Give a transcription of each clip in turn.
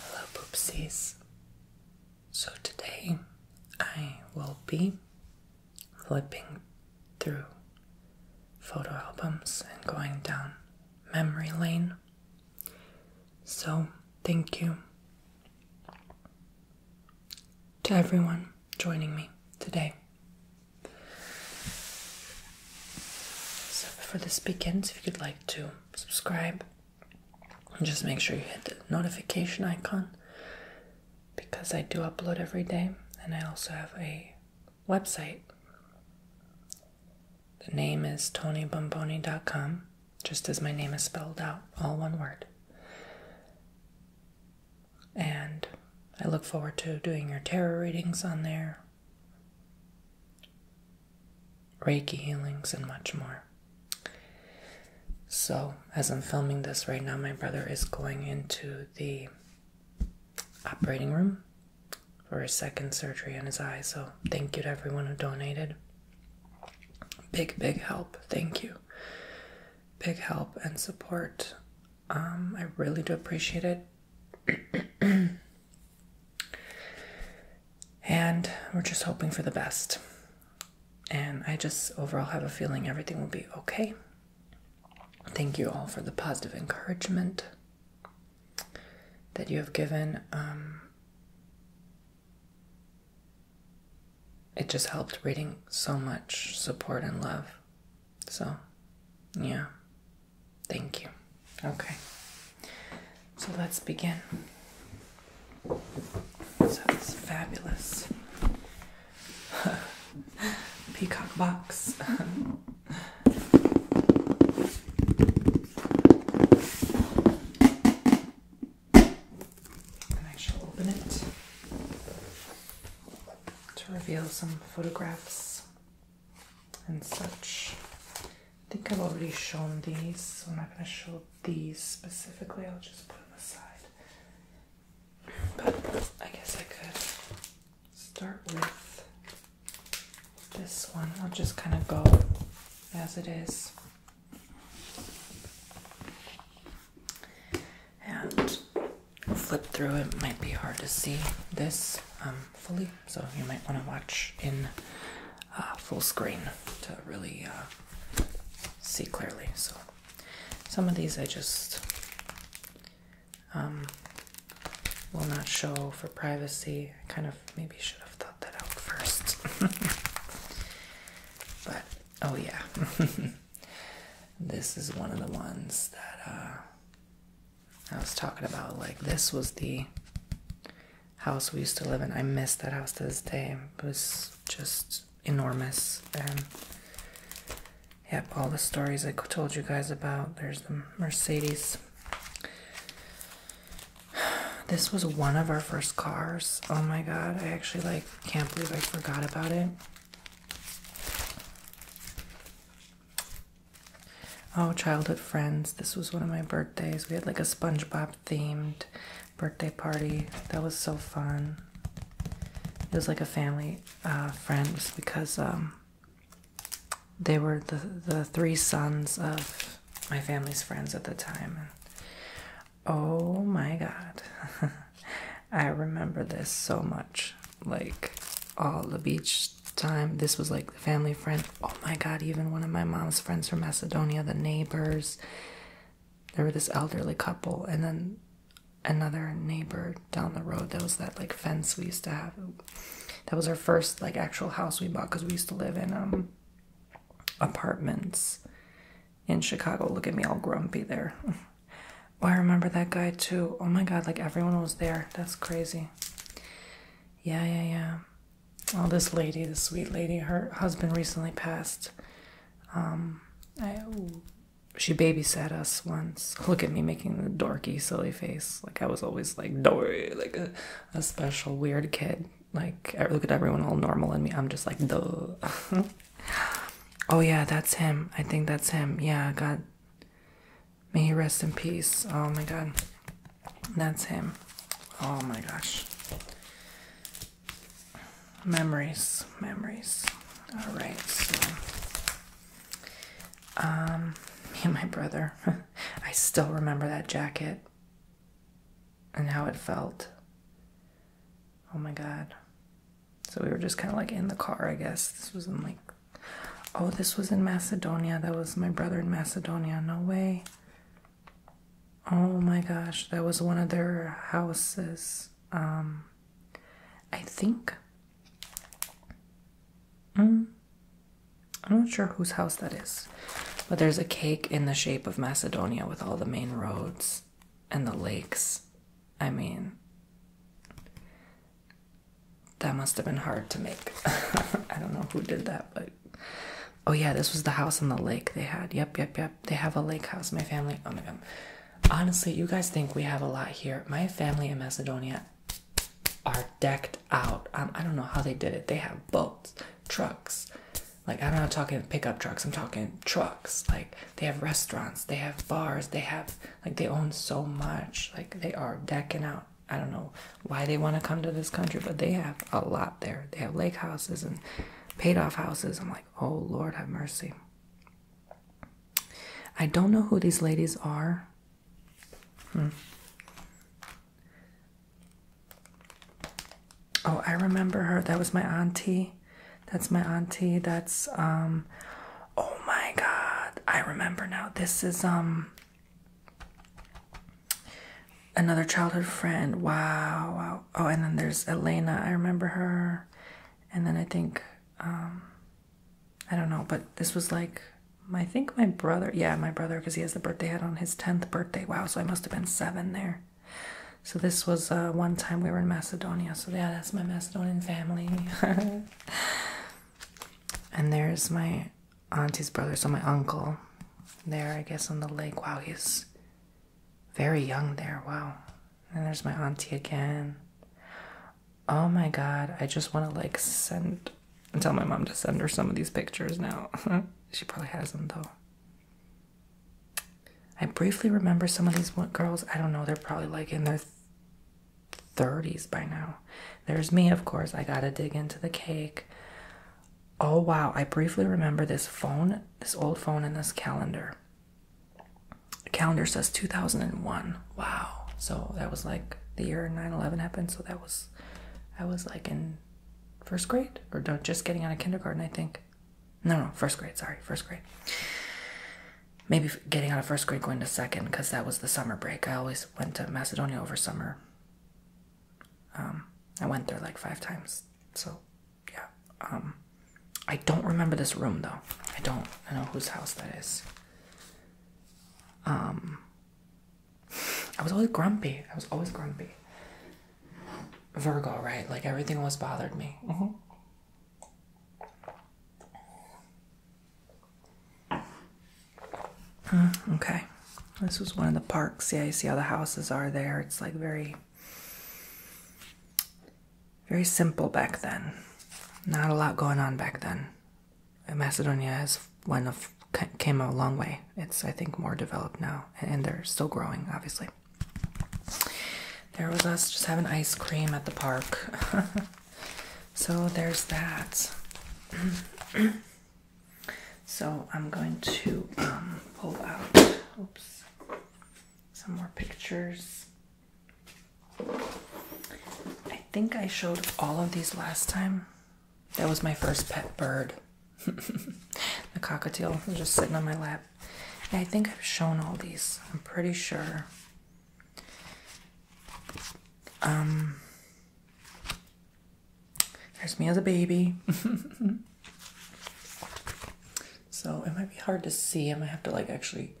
Hello, poopsies. So, today I will be flipping through photo albums and going down memory lane. So, thank you to everyone joining me today. So before this begins, if you'd like to subscribe, just make sure you hit the notification icon because I do upload every day, and I also have a website. The name is tonybomboni.com, just as my name is spelled out, all one word. And I look forward to doing your tarot readings on there, Reiki healings, and much more. So, as I'm filming this right now, my brother is going into the operating room for his second surgery on his eye. So, thank you to everyone who donated. Big, big help. Thank you. Big help and support. Um, I really do appreciate it. And we're just hoping for the best. And I just overall have a feeling everything will be okay. Thank you all for the positive encouragement that you have given. Um, it just helped reading so much support and love. So, yeah, Thank you. Okay. So let's begin. So this fabulous peacock box. and I shall open it to reveal some photographs and such. I think I've already shown these, so I'm not going to show these specifically. I'll just put them aside. But I guess I could start with this one. I'll just kind of go as it is. And flip through it might be hard to see this. Um, fully, so you might want to watch in uh, full screen to really uh, see clearly. So some of these I just um, will not show for privacy. I kind of maybe should have thought that out first. but oh yeah, this is one of the ones that uh, I was talking about like this was the house we used to live in. I miss that house to this day. It was just enormous. And yep, all the stories I told you guys about. There's the Mercedes. This was one of our first cars. Oh my god, I actually like can't believe I forgot about it. Oh, childhood friends. This was one of my birthdays. We had like a SpongeBob themed birthday party. That was so fun. It was like a family uh, friends because um, they were the, the three sons of my family's friends at the time. oh my god. I remember this so much. Like all the beach time this was like the family friend oh my god even one of my mom's friends from macedonia the neighbors there were this elderly couple and then another neighbor down the road that was that like fence we used to have that was our first like actual house we bought because we used to live in um apartments in chicago look at me all grumpy there oh i remember that guy too oh my god like everyone was there that's crazy yeah yeah yeah Oh, this lady, this sweet lady, her husband recently passed. Um, I, she babysat us once. Look at me making the dorky, silly face. Like I was always like dorky, like a, a special weird kid. Like I look at everyone all normal and me. I'm just like the. oh yeah, that's him. I think that's him. Yeah, God. May he rest in peace. Oh my god. That's him. Oh my gosh. Memories. Memories. Alright, so. Um, me and my brother. I still remember that jacket and how it felt. Oh my god. So we were just kind of like in the car, I guess. This was in like Oh, this was in Macedonia. That was my brother in Macedonia. No way. Oh my gosh, that was one of their houses. Um, I think. Mm, I'm not sure whose house that is. But there's a cake in the shape of Macedonia with all the main roads and the lakes. I mean, that must have been hard to make. I don't know who did that, but oh yeah, this was the house on the lake they had. Yep, yep, yep. They have a lake house. My family. Oh my god. Honestly, you guys think we have a lot here. My family in Macedonia are decked out. Um, I don't know how they did it. They have boats, trucks. Like I'm not talking pickup trucks. I'm talking trucks. Like they have restaurants. They have bars. They have like they own so much. Like they are decking out. I don't know why they want to come to this country, but they have a lot there. They have lake houses and paid off houses. I'm like, oh Lord, have mercy. I don't know who these ladies are. Hmm. Oh, I remember her. That was my auntie. That's my auntie. That's um oh my god. I remember now. This is um Another childhood friend. Wow, Oh, and then there's Elena. I remember her. And then I think, um, I don't know, but this was like, I think my brother. Yeah, my brother, because he has the birthday hat on his 10th birthday. Wow, so I must have been seven there. So this was uh, one time we were in Macedonia. So yeah, that's my Macedonian family. and there's my auntie's brother, so my uncle, there, I guess, on the lake. Wow, he's very young there. Wow. And there's my auntie again. Oh my god, I just want to like send and tell my mom to send her some of these pictures now. she probably has them though. I briefly remember some of these girls. I don't know, they're probably like in their 30s by now. There's me, of course. I gotta dig into the cake. Oh wow, I briefly remember this phone, this old phone, and this calendar. calendar says 2001. Wow. So that was like the year 9-11 happened. So that was, I was like in first grade or just getting out of kindergarten, I think. No, no, first grade. Sorry, first grade. Maybe getting out of first grade, going to second, because that was the summer break. I always went to Macedonia over summer. Um, I went there like five times, so yeah. Um, I don't remember this room though. I don't. know whose house that is. Um, I was always grumpy. I was always grumpy. Virgo, right? Like everything always bothered me. Mm-hmm okay. This was one of the parks. Yeah, you see how the houses are there. It's like very, very simple back then. Not a lot going on back then. Macedonia has one of came a long way. It's I think more developed now, and they're still growing, obviously. There was us just having ice cream at the park. so there's that. So I'm going to um, pull out oops, some more pictures. I think I showed all of these last time. That was my first pet bird. the cockatiel was just sitting on my lap. I think I've shown all these. I'm pretty sure. Um, there's me as a baby. so it might be hard to see. I might have to like actually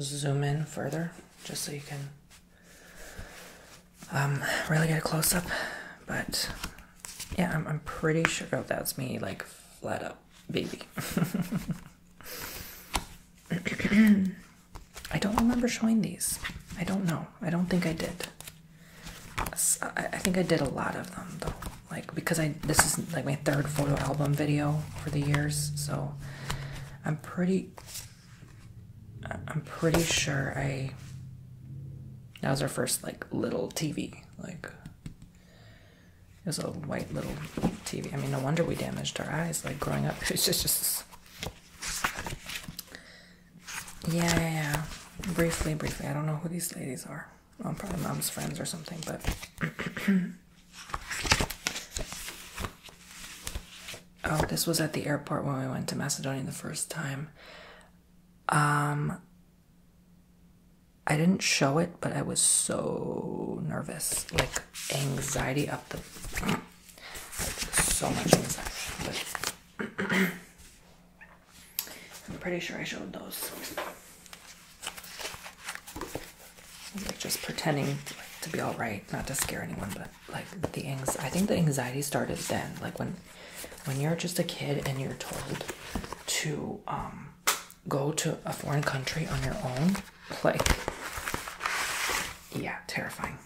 zoom in further just so you can um, really get a close up. But yeah, I'm, I'm pretty sure that's me like flat up baby. I don't remember showing these. I don't know. I don't think I did. I think I did a lot of them though, like because I this is like my third photo album video for the years, so I'm pretty. I'm pretty sure I. That was our first like little TV, like. It was a white little TV. I mean, no wonder we damaged our eyes. Like growing up, it's just just yeah, yeah, yeah. Briefly, briefly. I don't know who these ladies are. Well, um, probably mom's friends or something, but. oh, this was at the airport when we went to Macedonia the first time. Um, I didn't show it, but I was so nervous. Like, anxiety up the. so much inside, I'm pretty sure I showed those. Like just pretending to be all right, not to scare anyone, but like the anxiety. I think the anxiety started then, like when when you're just a kid and you're told to um, go to a foreign country on your own, like yeah, terrifying.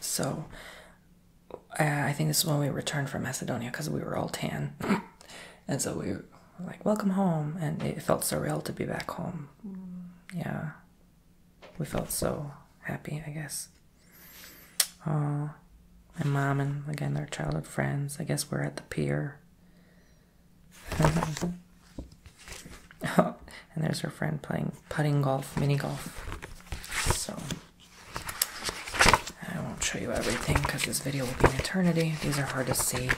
So I think this is when we returned from Macedonia because we were all tan. and so we were like, welcome home. And it felt surreal to be back home. Yeah. We felt so happy, I guess. Uh, my mom and again their childhood friends. I guess we're at the pier. oh, and there's her friend playing putting golf, mini golf. So I won't show you everything because this video will be an eternity. These are hard to see.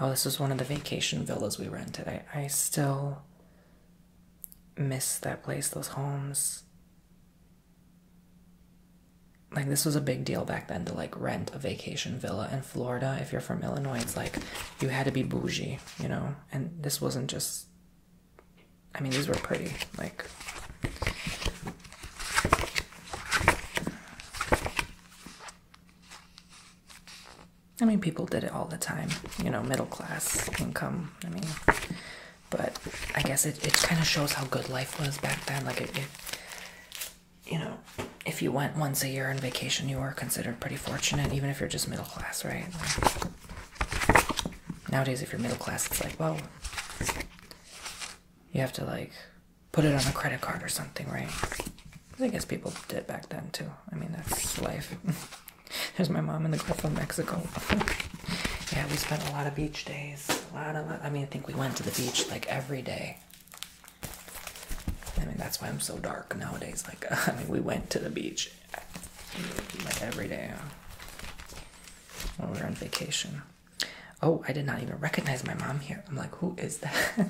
Oh, this was one of the vacation villas we rented. I, I still miss that place, those homes like this was a big deal back then to like rent a vacation villa in Florida. If you're from Illinois, it's like you had to be bougie, you know. And this wasn't just. I mean, these were pretty. Like. I mean, people did it all the time, you know, middle class income. I mean, but I guess it, it kind of shows how good life was back then. Like, it, it you know, if you went once a year on vacation, you were considered pretty fortunate, even if you're just middle class, right? Nowadays, if you're middle class, it's like, well, you have to like put it on a credit card or something, right? I guess people did back then too. I mean, that's life. There's my mom in the Gulf of Mexico. yeah, we spent a lot of beach days a lot, a I mean, I think we went to the beach like every day. I mean, that's why I'm so dark nowadays. Like, I mean, we went to the beach like every day when we were on vacation. Oh, I did not even recognize my mom here. I'm like, who is that?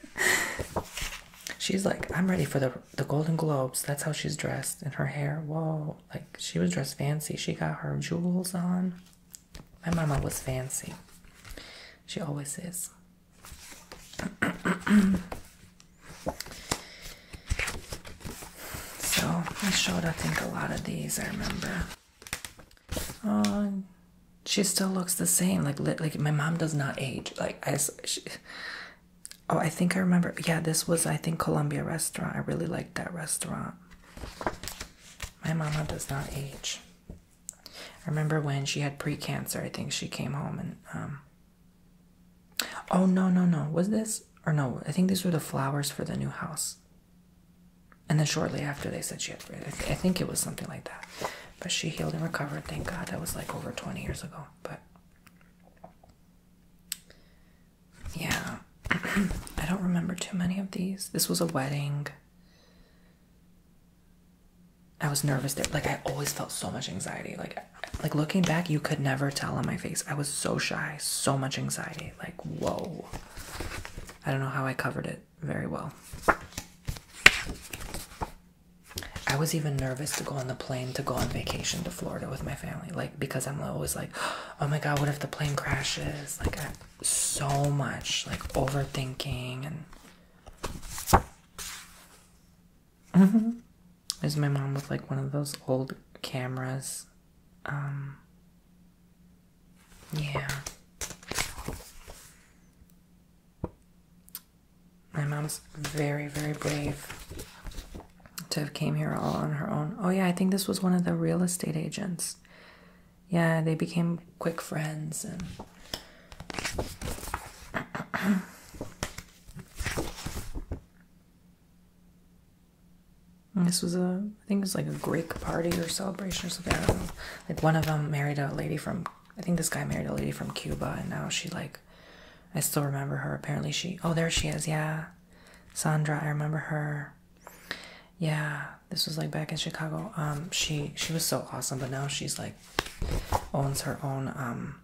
she's like, I'm ready for the the Golden Globes. That's how she's dressed, and her hair. Whoa, like she was dressed fancy. She got her jewels on. My mama was fancy. She always is. so I showed, I think, a lot of these. I remember. Uh, she still looks the same. Like, like my mom does not age. Like, as she, oh, I think I remember. Yeah, this was I think Columbia restaurant. I really liked that restaurant. My mama does not age. I remember when she had precancer? I think she came home and um. Oh no no no! Was this or no? I think these were the flowers for the new house. And then shortly after, they said she had. I, I think it was something like that. But she healed and recovered. Thank God. That was like over twenty years ago. But yeah. I don't remember too many of these. This was a wedding. I was nervous there. Like I always felt so much anxiety. Like like looking back, you could never tell on my face. I was so shy, so much anxiety. Like, whoa. I don't know how I covered it very well. I was even nervous to go on the plane to go on vacation to Florida with my family, like because I'm always like, oh my god, what if the plane crashes? Like, so much like overthinking and is my mom with like one of those old cameras. Um yeah. My mom's very, very brave to have came here all on her own. Oh yeah, I think this was one of the real estate agents yeah, they became quick friends and this was a I think it was like a Greek party or celebration or something. Like one of them married a lady from I think this guy married a lady from Cuba and now she like I still remember her. Apparently she oh there she is, yeah. Sandra, I remember her yeah this was like back in chicago um she she was so awesome but now she's like owns her own um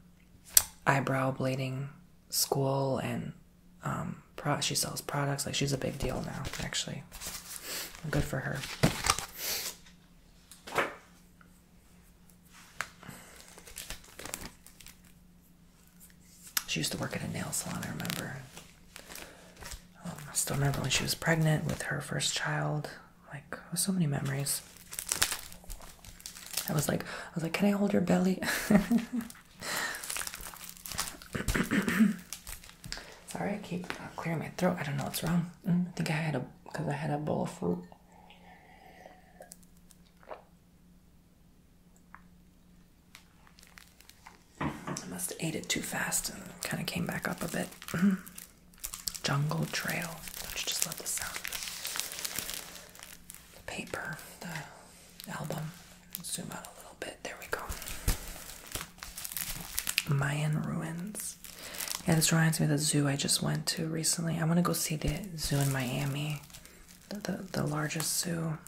eyebrow blading school and um pro she sells products like she's a big deal now actually good for her she used to work at a nail salon, I remember. Um, I still remember when she was pregnant with her first child. Like, so many memories. I was like, I was like, can I hold your belly? Sorry, I keep clearing my throat. I don't know what's wrong. Mm, I think I had a because I had a bowl of fruit. I must have ate it too fast and kind of came back up a bit. Mm-hmm. Jungle Trail. Don't you just love the sound The paper, the album. Zoom out a little bit. There we go. Mayan Ruins. Yeah, this reminds me of the zoo I just went to recently. I want to go see the zoo in Miami, the, the largest zoo.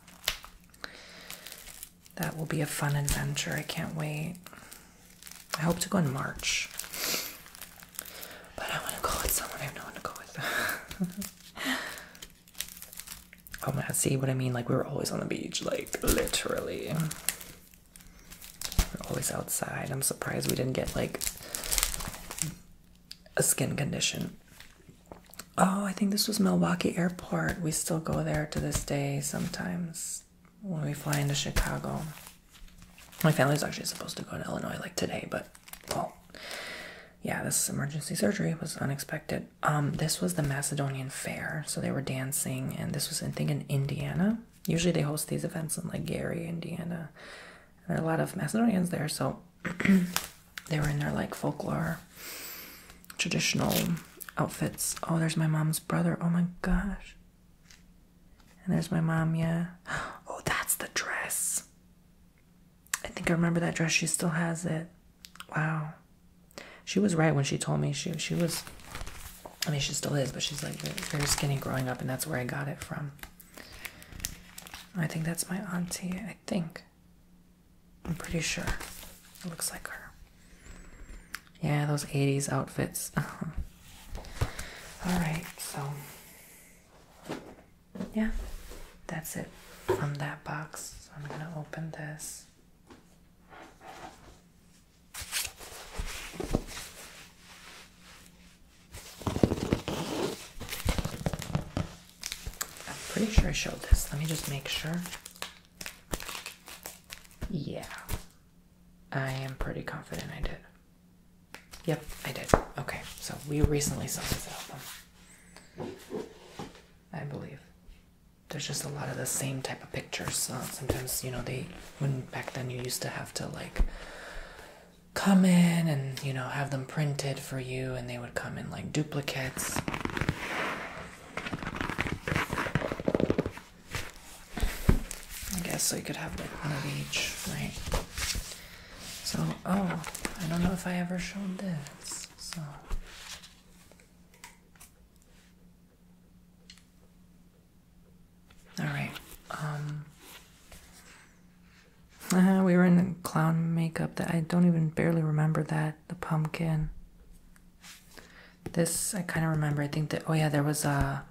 That will be a fun adventure. I can't wait. I hope to go in March. But I want to go with someone. I have no one to go with. oh my god, see what I mean? Like, we were always on the beach. Like, literally. We're always outside. I'm surprised we didn't get, like, a skin condition oh, I think this was Milwaukee Airport. We still go there to this day sometimes when we fly into Chicago. My family's actually supposed to go to Illinois like today, but well, yeah, this emergency surgery was unexpected. Um, this was the Macedonian Fair, so they were dancing, and this was, I think, in Indiana. Usually they host these events in like Gary, Indiana. There are a lot of Macedonians there, so they were in their like folklore traditional outfits. Oh, there's my mom's brother. Oh my gosh. And there's my mom, yeah. Oh, that's the dress. I think I remember that dress. She still has it. Wow. She was right when she told me she she was I mean she still is, but she's like very skinny growing up and that's where I got it from. I think that's my auntie, I think. I'm pretty sure it looks like her. Yeah, those 80s outfits. Alright, so yeah, that's it from that box. So I'm gonna open this. I'm pretty sure I showed this. Let me just make sure. Yeah. I am pretty confident I did. Yep, I did. Okay, so we recently saw this album. I believe. There's just a lot of the same type of pictures. sometimes, you know, they, when back then you used to have to like come in and, you know, have them printed for you and they would come in like duplicates. I guess so you could have like one of each, right? So, oh, I don't know if I ever showed this. So, all right. Um, uh, we were in clown makeup that I don't even barely remember that the pumpkin. This I kind of remember. I think that oh yeah, there was a.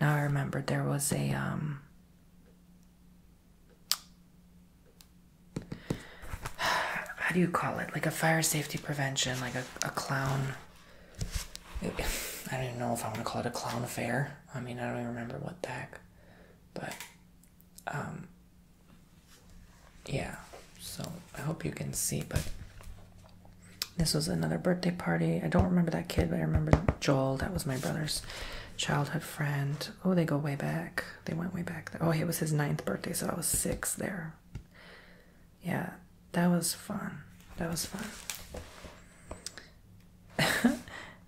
Now I remember there was a um. How do you call it? Like a fire safety prevention, like a a clown. I don't even know if I want to call it a clown affair. I mean, I don't even remember what the heck, but um, yeah, so I hope you can see, but this was another birthday party. I don't remember that kid, but I remember Joel. That was my brother's childhood friend. Oh, they go way back. They went way back. Oh, it was his ninth birthday, so I was six there. Yeah, that was fun. That was fun.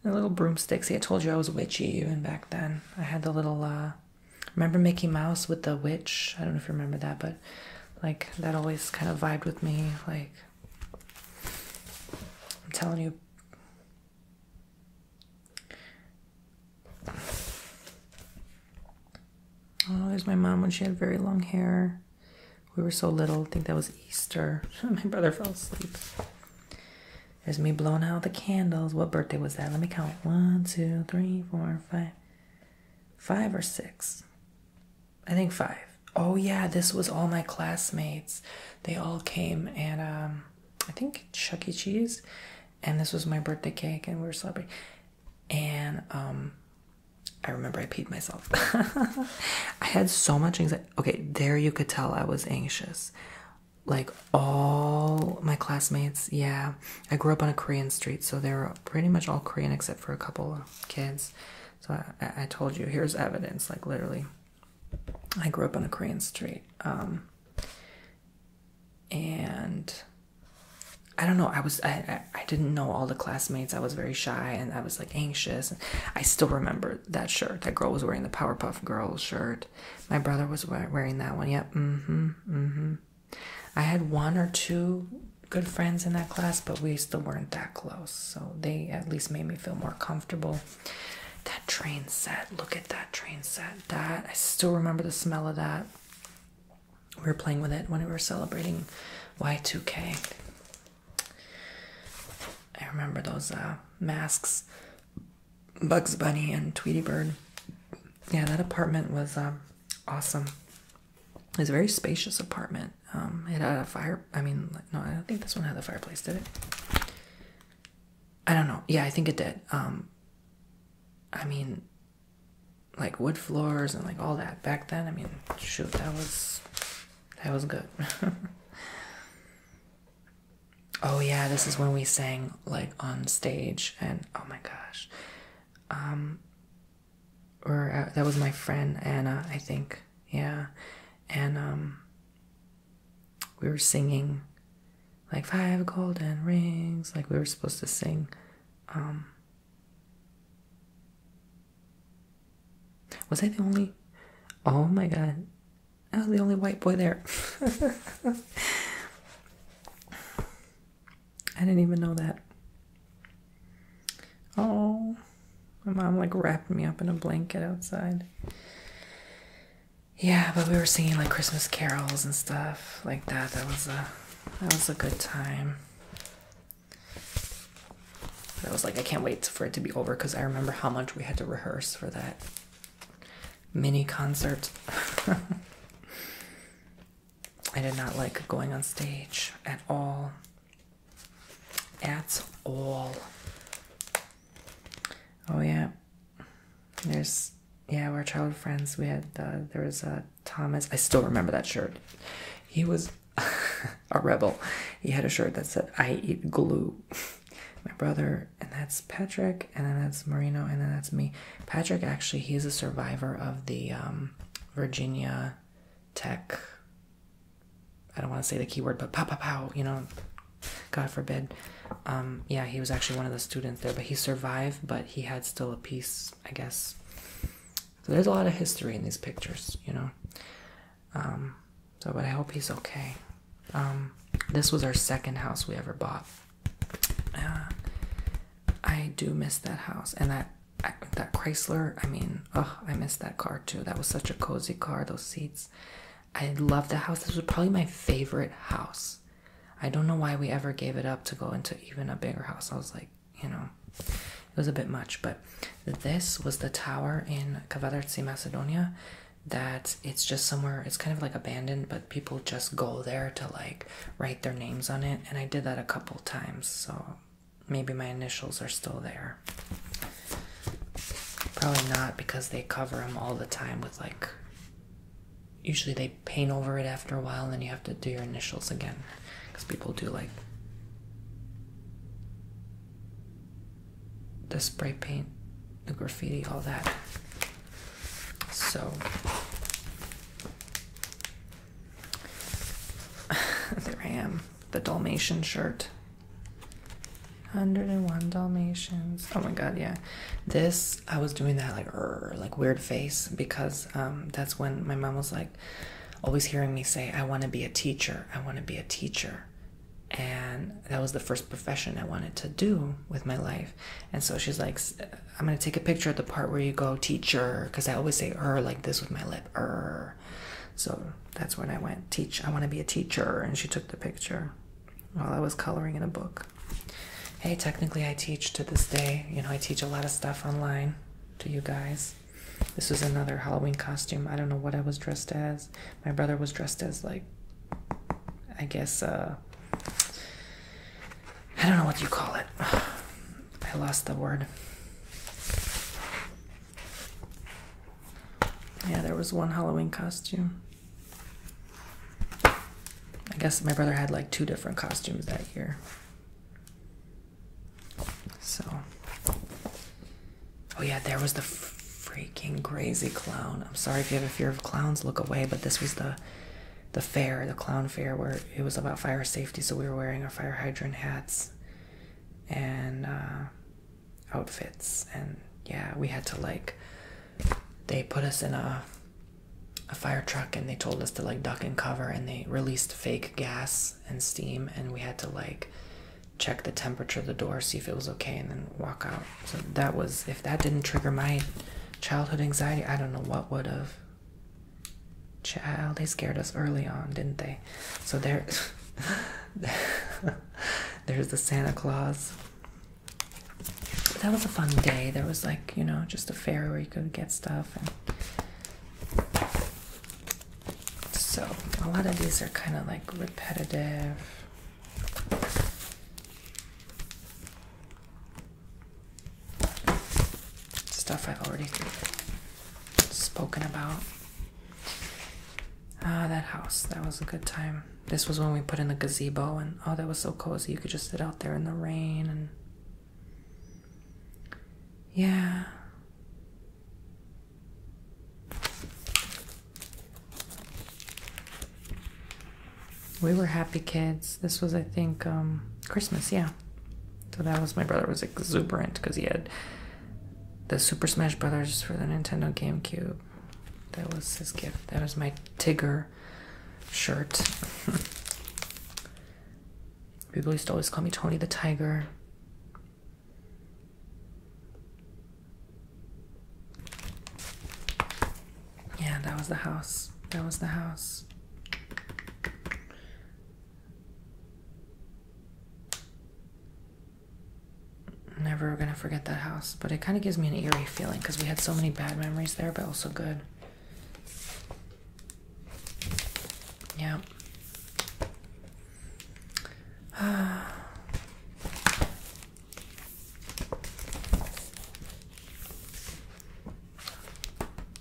the little broomsticks. See, I told you I was witchy even back then. I had the little uh, remember Mickey Mouse with the witch? I don't know if you remember that, but like that always kind of vibed with me. Like, I'm telling you. Oh, there's my mom when she had very long hair. We were so little. I think that was Easter. my brother fell asleep. There's me blowing out the candles. What birthday was that? Let me count. One, two, three, four, five five or six. I think five. Oh yeah, this was all my classmates. They all came and um, I think Chuck E. Cheese and this was my birthday cake and we were celebrating. And um, I remember I peed myself. I had so much anxiety. Okay, there you could tell I was anxious. Like all my classmates. Yeah, I grew up on a Korean street, so they are pretty much all Korean except for a couple of kids. So I, told you, here's evidence. Like literally, I grew up on a Korean street, um, and I don't know. I was I, I didn't know all the classmates. I was very shy and I was like anxious. I still remember that shirt. That girl was wearing the Powerpuff Girls shirt. My brother was wearing that one. Yep. Mm-hmm. Mm-hmm. I had one or two good friends in that class, but we still weren't that close. So they at least made me feel more comfortable. That train set, look at that train set. That I still remember the smell of that. We were playing with it when we were celebrating Y2K. I remember those uh, masks, Bugs Bunny and Tweety Bird. Yeah, that apartment was um, awesome. It's a very spacious apartment. Um, it had a fire. I mean, no, I don't think this one had a fireplace, did it? I don't know. Yeah, I think it did. Um, I mean, like wood floors and like all that back then. I mean, shoot, that was that was good. oh yeah, this is when we sang like on stage, and oh my gosh, um, or uh, that was my friend Anna, I think, yeah, and um, we were singing like five golden rings, like we were supposed to sing. Um, was I the only? Oh my god, I was the only white boy there. I didn't even know that. Oh, my mom like wrapped me up in a blanket outside. Yeah, but we were singing like Christmas carols and stuff like that. That was a that was a good time. I was like, I can't wait for it to be over because I remember how much we had to rehearse for that mini concert. I did not like going on stage at all. At all. Oh yeah. There's yeah, we're childhood friends. We had uh, there was a uh, Thomas. I still remember that shirt. He was a rebel. He had a shirt that said "I eat glue." My brother, and that's Patrick, and then that's Marino, and then that's me. Patrick actually he's a survivor of the um, Virginia Tech. I don't want to say the keyword, but pow pow pow. You know, God forbid. Um, yeah, he was actually one of the students there, but he survived. But he had still a piece, I guess. So there's a lot of history in these pictures, you know. Um, so, but I hope he's okay. this was our second house we ever bought. Uh, I do miss that house and that that Chrysler. I mean, oh, I miss that car too. That was such a cozy car. Those seats. I love the house. This was probably my favorite house. I don't know why we ever gave it up to go into even a bigger house. I was like, you know, it was a bit much. But this was the tower in Kavadarci, Macedonia. That it's just somewhere, it's kind of like abandoned, but people just go there to like write their names on it, and I did that a couple times, so maybe my initials are still there. Probably not because they cover them all the time with like. Usually they paint over it after a while, and then you have to do your initials again because people do like the spray paint, the graffiti, all that. So there I am, the Dalmatian shirt. 101 Dalmatians. Oh my god, yeah. This I was doing that like like weird face because um, that's when my mom was like always hearing me say I want to be a teacher. I want to be a teacher. And that was the first profession I wanted to do with my life. And so she's like I'm gonna take a picture of the part where you go teacher because I always say er like this with my lip er. So that's when I went teach. I want to be a teacher, and she took the picture while I was coloring in a book. Hey, technically I teach to this day. You know I teach a lot of stuff online to you guys. This was another Halloween costume. I don't know what I was dressed as. My brother was dressed as like, I guess, uh, I don't know what you call it. I lost the word. Yeah, there was one Halloween costume. I guess my brother had like two different costumes that year. So. Oh, yeah, there was the freaking crazy clown. I'm sorry if you have a fear of clowns, look away, but this was the the fair, the clown fair, where it was about fire safety, so we were wearing our fire hydrant hats and uh, outfits, and yeah, we had to like. They put us in a a fire truck, and they told us to like duck and cover, and they released fake gas and steam, and we had to like check the temperature of the door, see if it was okay, and then walk out. So that was if that didn't trigger my childhood anxiety, I don't know what would have. Child, they scared us early on, didn't they? So there, there's the Santa Claus. that was a fun day. There was like you know just a fair where you could get stuff, and so a lot of these are kind of like repetitive stuff I've already spoken about. Ah, that house. That was a good time. This was when we put in the gazebo, and oh, that was so cozy. You could just sit out there in the rain, and yeah we were happy kids. This was, I think, um, Christmas, yeah. So that was my brother was exuberant because he had the Super Smash Brothers for the Nintendo GameCube. That was his gift. That was my tiger shirt. People used to always call me Tony the Tiger. Yeah, that was the house. That was the house. Never gonna forget that house, but it kind of gives me an eerie feeling because we had so many bad memories there, but also good. Yeah.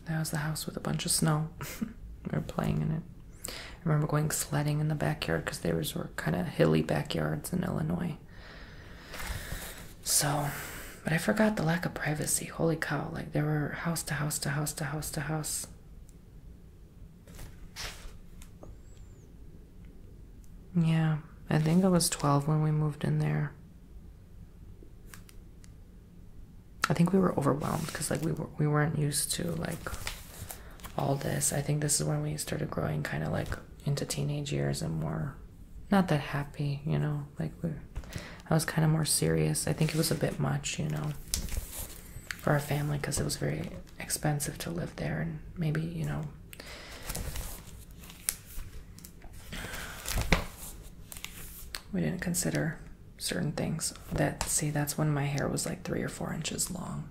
That was the house with a bunch of snow. we were playing in it. I remember going sledding in the backyard because theirs were kind of hilly backyards in Illinois. So, but I forgot the lack of privacy. Holy cow! Like there were house to house to house to house to house. Yeah, I think I was 12 when we moved in there. I think we were overwhelmed because like we were we weren't used to like all this. I think this is when we started growing kind of like into teenage years and more not that happy, you know. Like I was kind of more serious. I think it was a bit much, you know, for our family because it was very expensive to live there and maybe, you know, we didn't consider certain things that see that's when my hair was like three or four inches long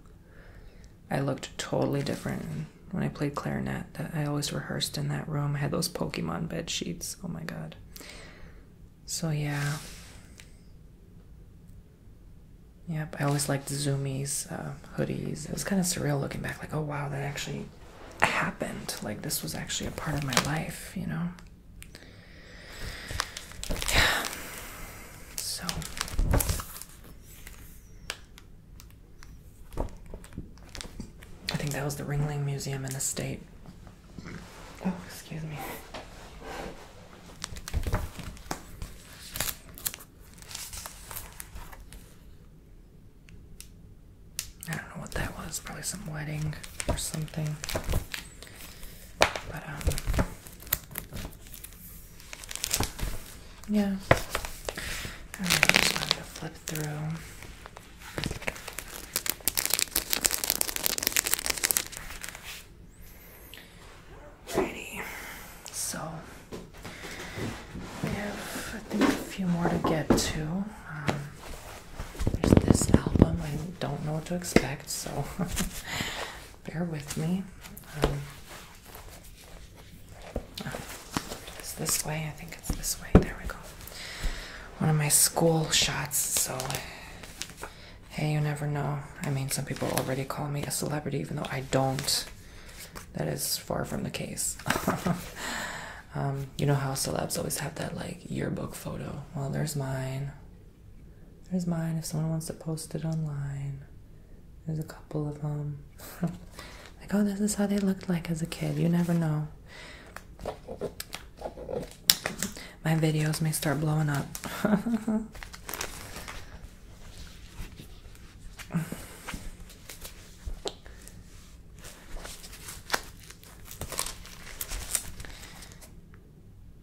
i looked totally different when i played clarinet that i always rehearsed in that room i had those pokemon bed sheets oh my god so yeah yep i always liked zoomies uh, hoodies it was kind of surreal looking back like oh wow that actually happened. Like this was actually a part of my life, you know. So I think that was the Ringling Museum and Estate. Oh, excuse me. I don't know what that was. Probably some wedding or something. But, um, yeah. I right, just wanted to flip through. Alrighty. So, we have, I think, a few more to get to. Um, there's this album. I don't know what to expect, so bear with me. Um, oh, it's this way. I think it's this way. There we go. One of my school shots, so hey, you never know. I mean, some people already call me a celebrity, even though I don't. That is far from the case. Um, you know how celebs always have that like yearbook photo. Well, there's mine. There's mine if someone wants to post it online. There's a couple of them. like, oh, this is how they looked like as a kid. You never know. My videos may start blowing up.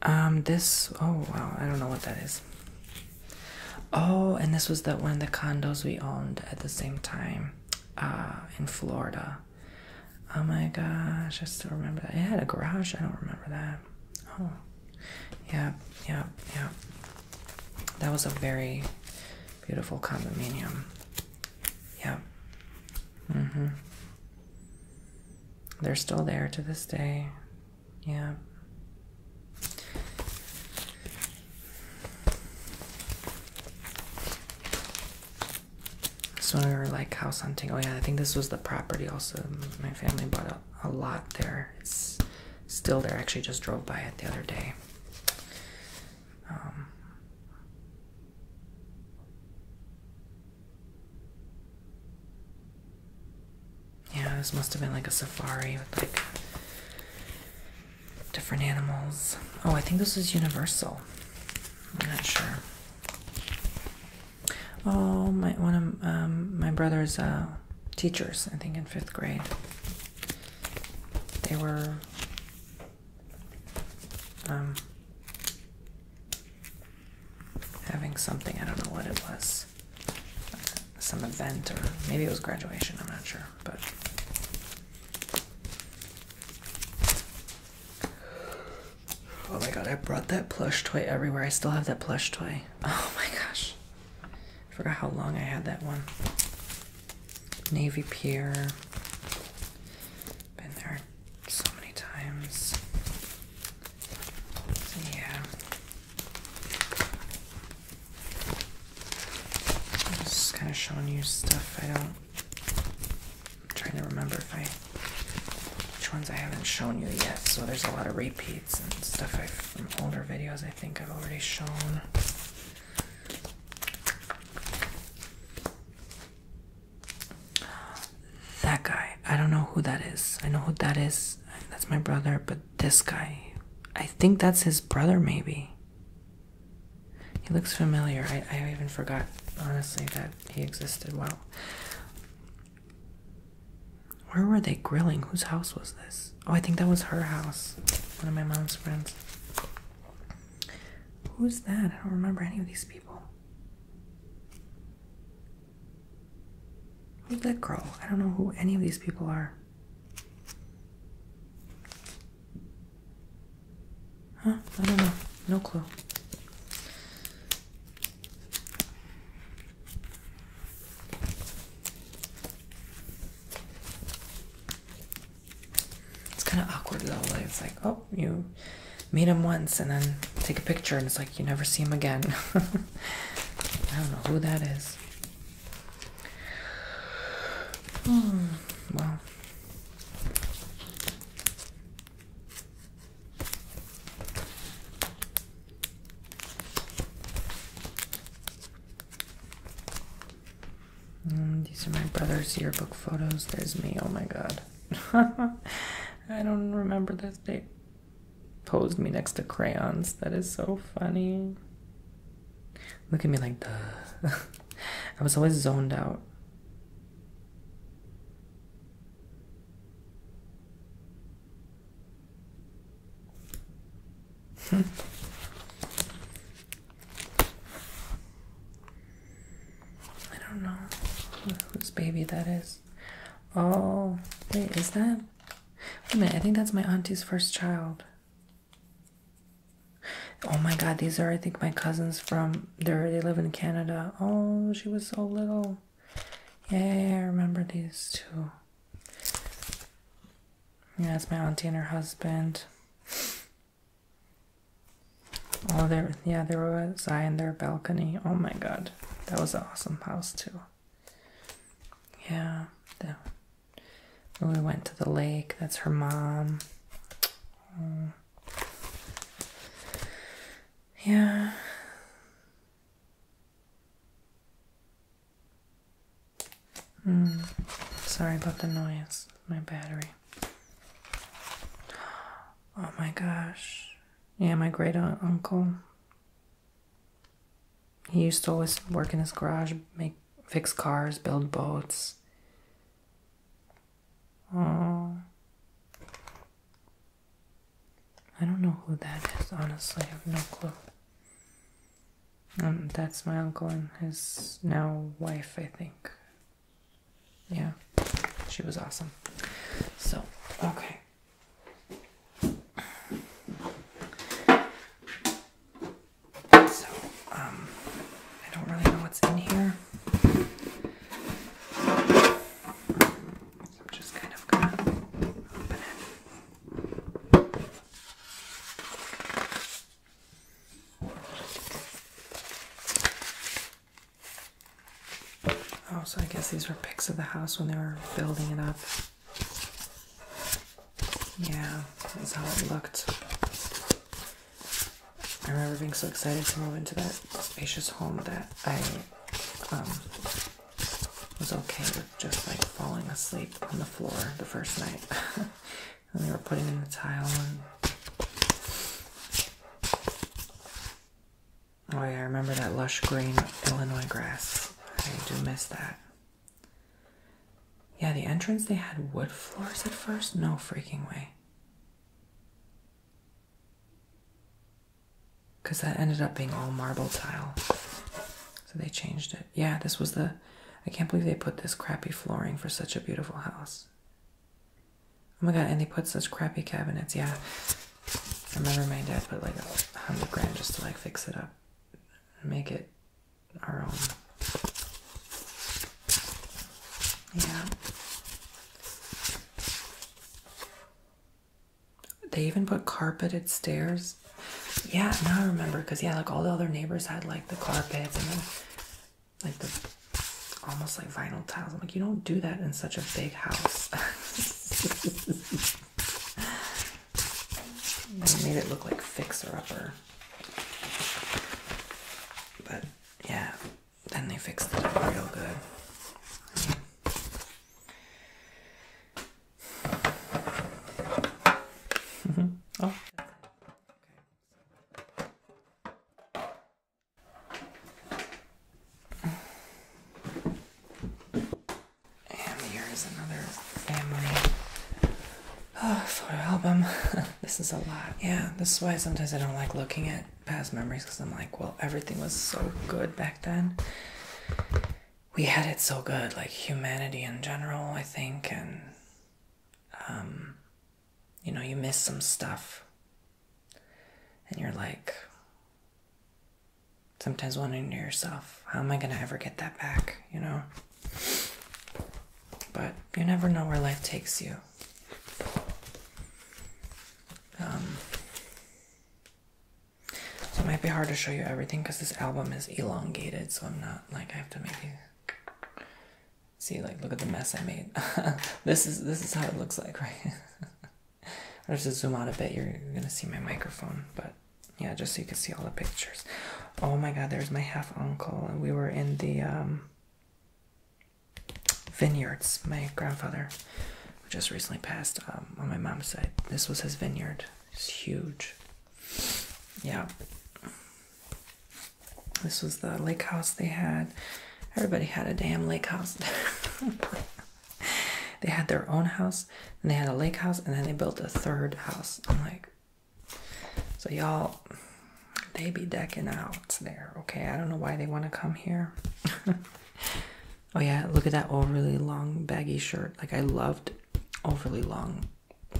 Um, this. Oh wow, I don't know what that is. Oh, and this was the one of the condos we owned at the same time, uh, in Florida. Oh my gosh, I still remember that. It had a garage. I don't remember that. Oh, yeah, yeah, yeah. That was a very beautiful condominium. Yeah. Mm hmm. They're still there to this day. Yeah. So we were like house hunting. Oh yeah, I think this was the property also. My family bought a, lot there. It's still there. actually just drove by it the other day. Um, yeah, this must have been like a safari with like different animals. Oh, I think this is Universal. I'm not sure. Oh, my one of um, my brother's uh, teachers, I think in fifth grade, they were um, having something, I don't know what it was, some event, or maybe it was graduation, I'm not sure, but. Oh my god, I brought that plush toy everywhere. I still have that plush toy. Oh my gosh. I forgot how long I had that one. Navy Pier. Been there so many times. yeah. just kind of showing you stuff I don't. I'm trying to remember if I. Which ones I haven't shown you yet. So there's a lot of repeats and stuff i from older videos I think I've already shown. That guy, I don't know who that is. I know who that is. That's my brother, but this guy, I think that's his brother, maybe. He looks familiar. I, I even forgot, honestly, that he existed. Well, Where were they grilling? Whose house was this? Oh, I think that was her house. One of my mom's friends. Who's that? I don't remember any of these people. Who's that girl? I don't know who any of these people are. Huh? I don't know. No clue. It's kind of awkward though. Like, it's like, oh, you meet him once and then take a picture, and it's like you never see him again. I don't know who that is. Hmm, well. Mm, these are my brother's yearbook photos. There's me. Oh my god. I don't remember this. They posed me next to crayons. That is so funny. Look at me like the. I was always zoned out. I don't know whose baby that is. Oh, wait, is that? Wait a minute, I think that's my auntie's first child. Oh my god, these are, I think, my cousins from there. They live in Canada. Oh, she was so little. Yeah, I remember these two. Yeah, it's my auntie and her husband. Oh, there, yeah, there was I in their balcony. Oh my god, that was an awesome house too. Yeah, we went to the lake, that's her mom. Mm. Yeah. Mm. Sorry about the noise. My battery. Oh my gosh. Yeah, my great uncle. He used to always work in his garage, make fix cars, build boats. Oh. I don't know who that is, honestly. I have no clue. Um, that's my uncle and his now wife, I think. Yeah, she was awesome. So, okay. So, um, I don't really know what's in here. So I'm just kind of gonna open it. Oh, so I guess these were pics of the house when they were building it up. Yeah, this is how it looked. I remember being so excited to move into that spacious home that I um, was okay with just like falling asleep on the floor the first night. And they were putting in the tile Oh yeah, I remember that lush green Illinois grass. I do miss that. Yeah, the entrance they had wood floors at first? No freaking way. Cause that ended up being all marble tile. So they changed it. Yeah, this was the I can't believe they put this crappy flooring for such a beautiful house. Oh my god, and they put such crappy cabinets, yeah. I remember my dad put like a hundred grand just to like fix it up make it our own. Yeah. They even put carpeted stairs. Yeah, now I remember because yeah, like all the other neighbors had like the carpets and like the almost like vinyl tiles. I'm like, you don't do that in such a big house. made it look like fixer upper. But yeah, then they fixed it real good. Mm -hmm. Oh. And here is another family oh, photo album. this is a lot. Yeah, this is why sometimes I don't like looking at past memories because I'm like, well, everything was so good back then. We had it so good, like humanity in general, I think, and um, you know, you miss some stuff. And you're like, sometimes wondering to yourself, how am I going to ever get that back, you know? But you never know where life takes you. Um, it might be hard to show you everything because this album is elongated, so I'm not like, I have to maybe See, like, look at the mess I made. this is this is how it looks like, right? I'll just zoom out a bit. You're, gonna see my microphone, but yeah, just so you can see all the pictures. Oh my God, there's my half uncle, and we were in the um, vineyards. My grandfather, who just recently passed um, on my mom's side, this was his vineyard. It's huge. Yeah. This was the lake house they had. Everybody had a damn lake house. they had their own house, and they had a lake house, and then they built a third house. I'm like, so y'all, they be decking out there. Okay, I don't know why they want to come here. oh yeah, look at that overly long baggy shirt. Like I loved overly long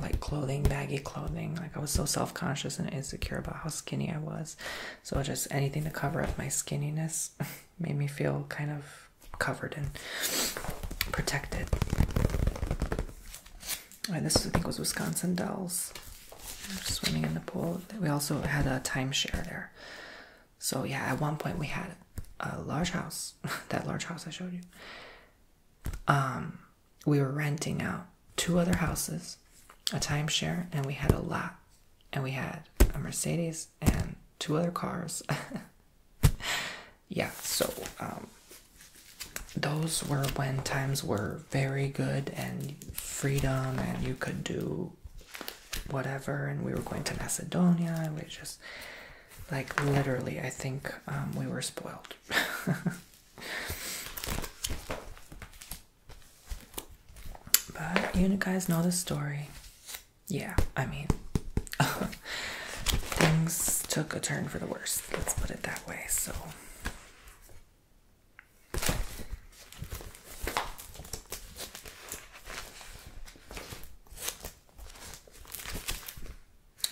like clothing, baggy clothing. Like I was so self-conscious and insecure about how skinny I was. So just anything to cover up my skinniness made me feel kind of covered and protected. Right, this I think was Wisconsin Dells. Swimming in the pool. We also had a timeshare there. So yeah, at one point we had a large house. that large house I showed you. Um we were renting out two other houses, a timeshare, and we had a lot. And we had a Mercedes and two other cars. yeah, so um, those were when times were very good and freedom, and you could do whatever. And we were going to Macedonia, we just like literally, I think um, we were spoiled. But you guys know the story. Yeah, I mean, things took a turn for the worse. Let's put it that way. So.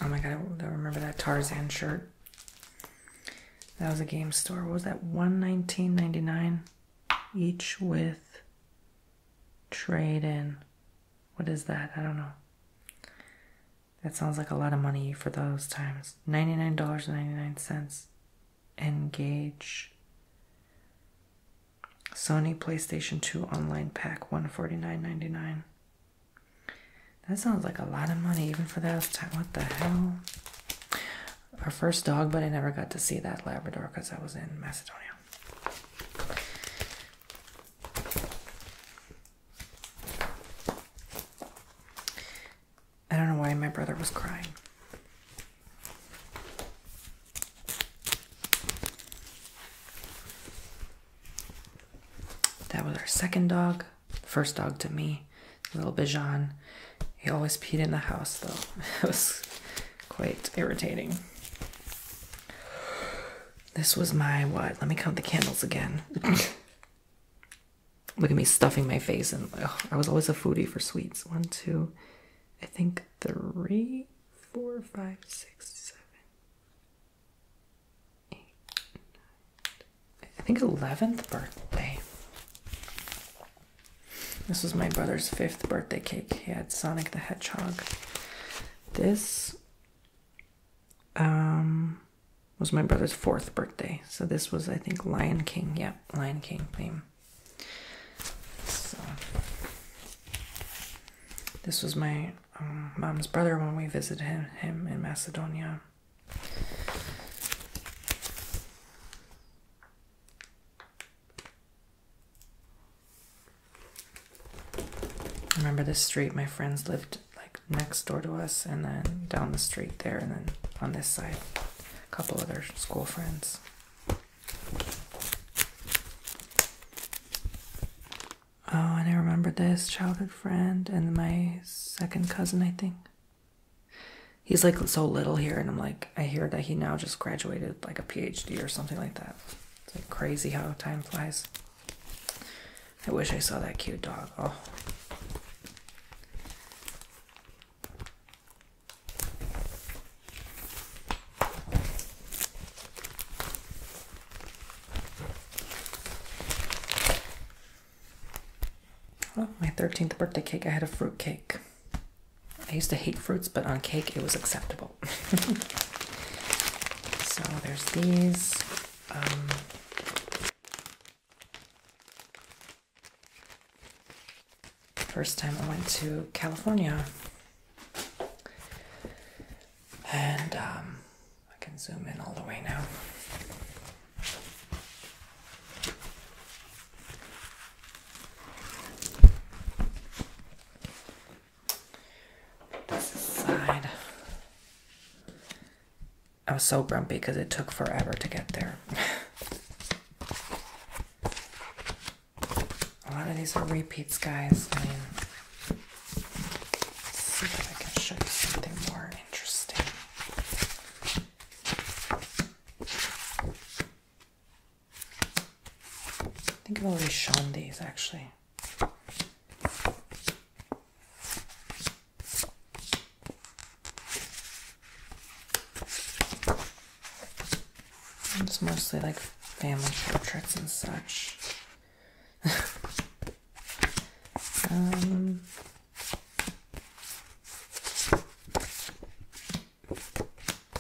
Oh my god, I remember that Tarzan shirt. That was a game store. What was that? One nineteen ninety nine, each with trade in. What is that? I don't know. That sounds like a lot of money for those times. Ninety nine dollars and ninety nine cents. Engage. Sony PlayStation Two Online Pack one forty nine ninety nine. That sounds like a lot of money, even for that time. What the hell? Our first dog, but I never got to see that Labrador because I was in Macedonia. I don't know why my brother was crying. That was our second dog first dog to me, little Bijan. He always peed in the house though. It was quite irritating. This was my what? Let me count the candles again. Look at me stuffing my face and I was always a foodie for sweets. One, two, I think three, four, five, six, seven, eight, nine, I think 11th birthday. This was my brother's fifth birthday cake. He had Sonic the Hedgehog. This um, was my brother's fourth birthday. So this was, I think, Lion King. yeah, Lion King theme. So this was my um, mom's brother when we visited him in Macedonia remember this street, my friends lived like next door to us, and then down the street there, and then on this side, a couple other school friends. Oh, and I remember this childhood friend and my second cousin, I think. He's like so little here, and I'm like, I hear that he now just graduated like a PhD or something like that. It's like crazy how time flies. I wish I saw that cute dog. Oh. Well, my 13th birthday cake, I had a fruit cake. I used to hate fruits, but on cake it was acceptable. so there's these. Um, first time I went to California. And um, I can zoom in all the way now. I was so grumpy because it took forever to get there. A lot of these are repeats, guys. I mean, see if I can show you something more interesting. I think I've already shown these actually. It's mostly like family portraits and such. um,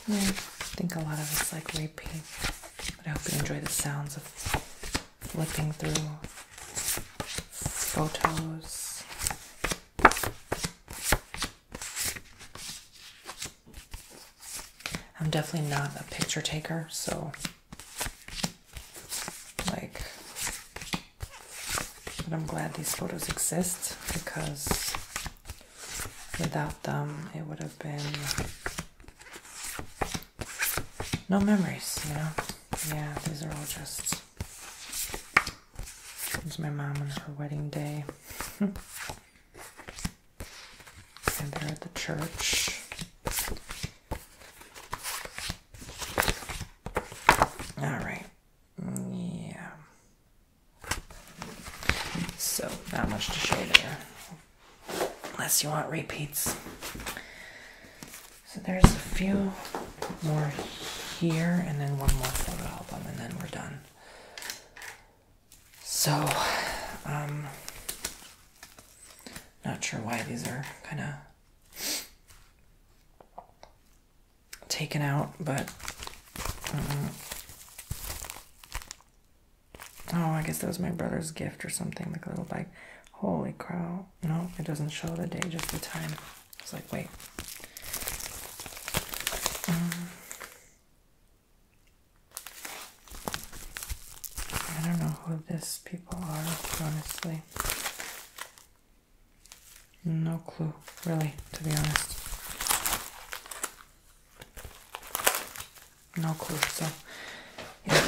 I think a lot of it's like repeat, but I hope you enjoy the sounds of flipping through photos. I'm definitely not a picture taker, so like, but I'm glad these photos exist because without them, it would have been no memories, you know? Yeah, these are all just. There's my mom on her wedding day. and there at the church. All right. Yeah. So, not much to show there. Unless you want repeats. So there's a few more here, and then one more photo album, and then we're done. So, um, not sure why these are kind of taken out, but. Uh, oh, I guess that was my brother's gift or something, like a little bike. Holy crow. No, it doesn't show the day, just the time. It's like, wait. Um, I don't know who these people are, honestly. No clue, really, to be honest. No clue, so yeah.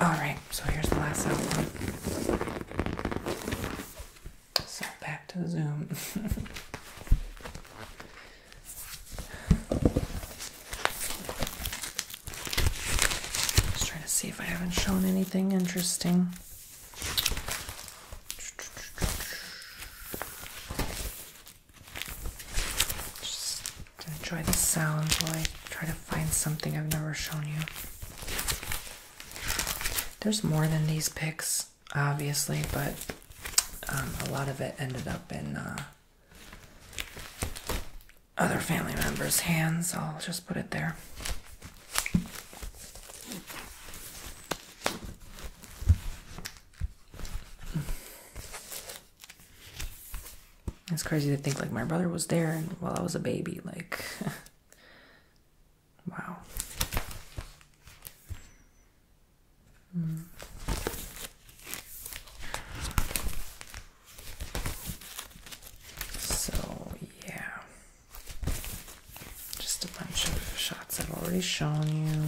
Alright, so here's the last album. So back to the Zoom. Just trying to see if I haven't shown anything interesting. Just enjoy the sounds. while I try to find something I've never shown you. There's more than these pics, obviously, but um, a lot of it ended up in uh, other family members' hands. I'll just put it there. It's crazy to think like my brother was there while I was a baby, like wow. Mm. So yeah. Just a bunch of shots I've already shown you.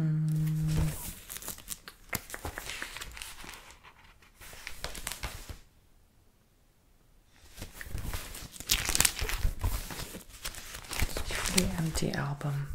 Mm. empty album.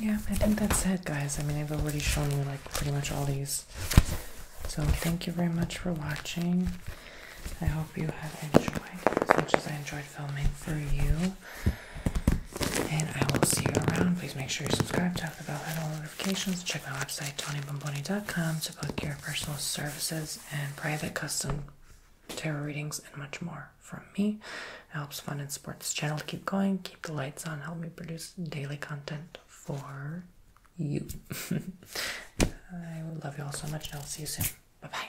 Yeah, I think that's it, guys. I mean, I've already shown you like pretty much all these. So, thank you very much for watching. I hope you have enjoyed as much as I enjoyed filming for you. And I will see you around. Please make sure you subscribe, tap the bell, hit all notifications. Check my website, tonybomboni.com, to book your personal services and private custom tarot readings and much more from me. It helps fund and support this channel to keep going, keep the lights on, help me produce daily content for you. I love you all so much, and I'll see you soon. Bye bye.